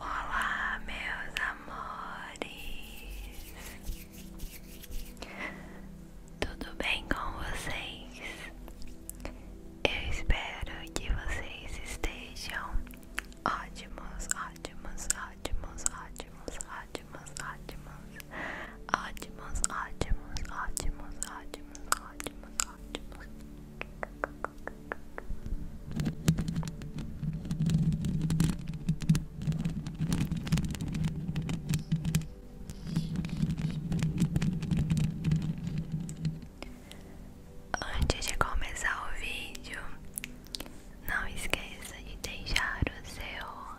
Olá, meus amores, tudo bem com vocês? Eu espero que vocês estejam ótimos, ótimos, ótimos, ótimos, ótimos, ótimos. Ótimos, ótimos, ótimos, ótimos, ótimos, ótimos. Antes de começar o vídeo, não esqueça de deixar o seu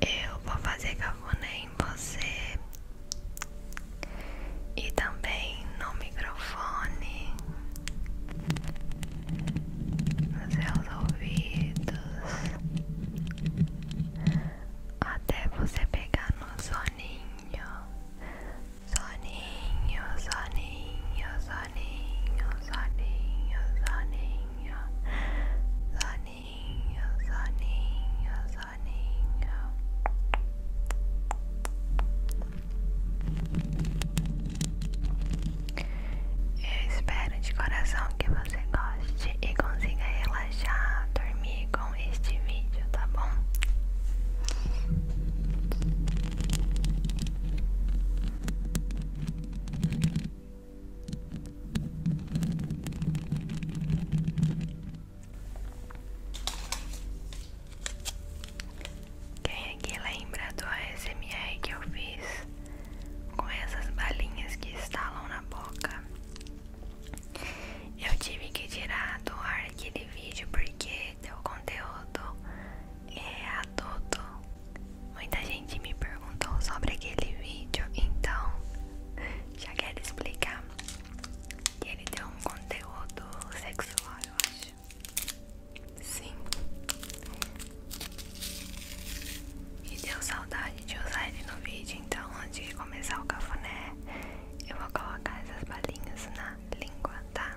Eu vou fazer cafuné em você e também no microfone, nos seus ouvidos, até você pegar no soninho, soninho, soninho, soninho, soninho, soninho, soninho soninho, soninho, soninho. Eu espero de coração que você goste e consiga relaxar, dormir com este vídeo, tá bom? Quem aqui lembra do ASMR que eu fiz com essas balinhas que estalam na boca? Eu tive que tirar do ar aquele vídeo porque deu conteúdo é, adulto. Muita gente me perguntou sobre aquele vídeo, então já quero explicar que ele tem um conteúdo sexual, eu acho. Sim. E deu saudade de usar ele no vídeo, então antes de começar o cafuné, eu vou colocar essas balinhas na língua, tá?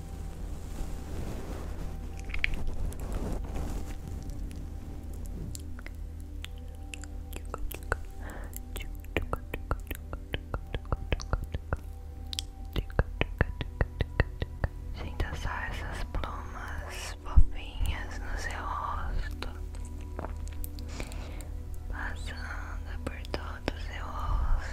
Sinta só essas plumas fofinhas no seu rosto, passando por todo o seu rosto.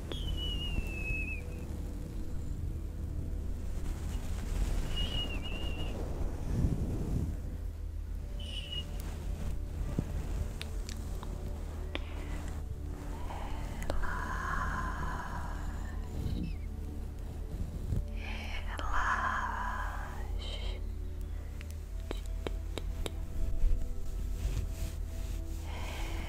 Relaxe. Relaxe.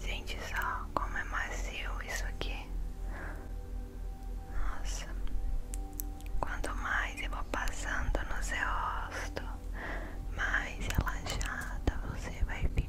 Gente, só como é macio isso aqui. Nossa, quanto mais eu vou passando no seu rosto, mais relaxada você vai ficando.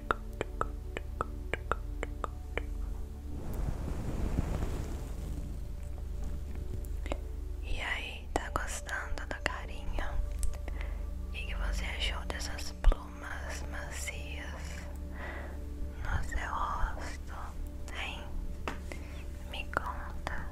E aí, tá gostando do carinho? E que você achou dessas plumas macias no seu rosto? Hein? Me conta.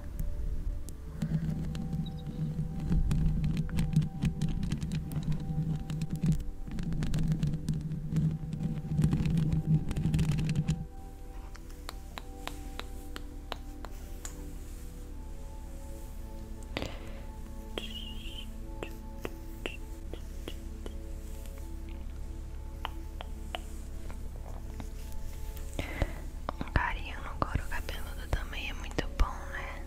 Um carinho no couro cabeludo também é muito bom, né?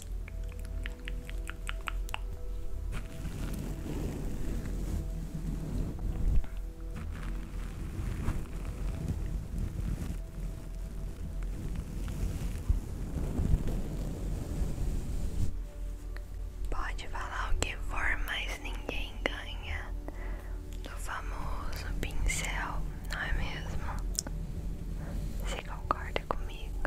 Pode falar o que for, mas ninguém ganha do famoso pincel, não é mesmo? Você concorda comigo?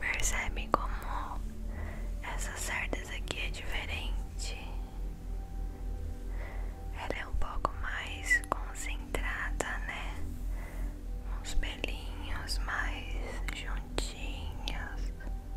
Percebe como essas cerdas aqui é diferente? Ela é um pouco mais concentrada, né? Uns pelinhos mais juntinhos.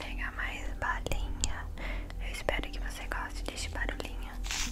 Pega mais balinha. Eu espero que você goste deste barulhinho.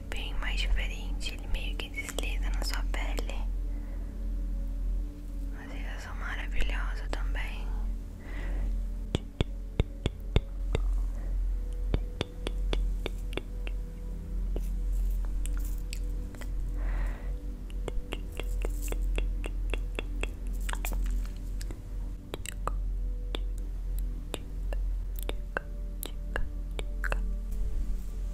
É bem mais diferente, ele meio que desliza na sua pele. Mas eles são maravilhosa também.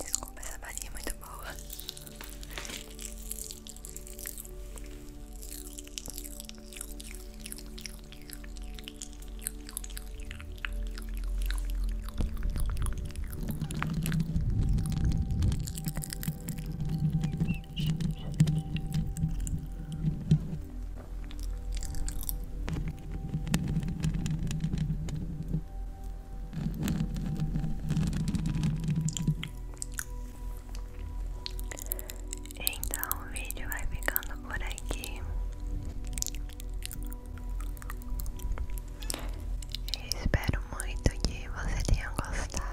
Desculpa, essa balinha é muito boa. Então o vídeo vai ficando por aqui. espero muito que você tenha gostado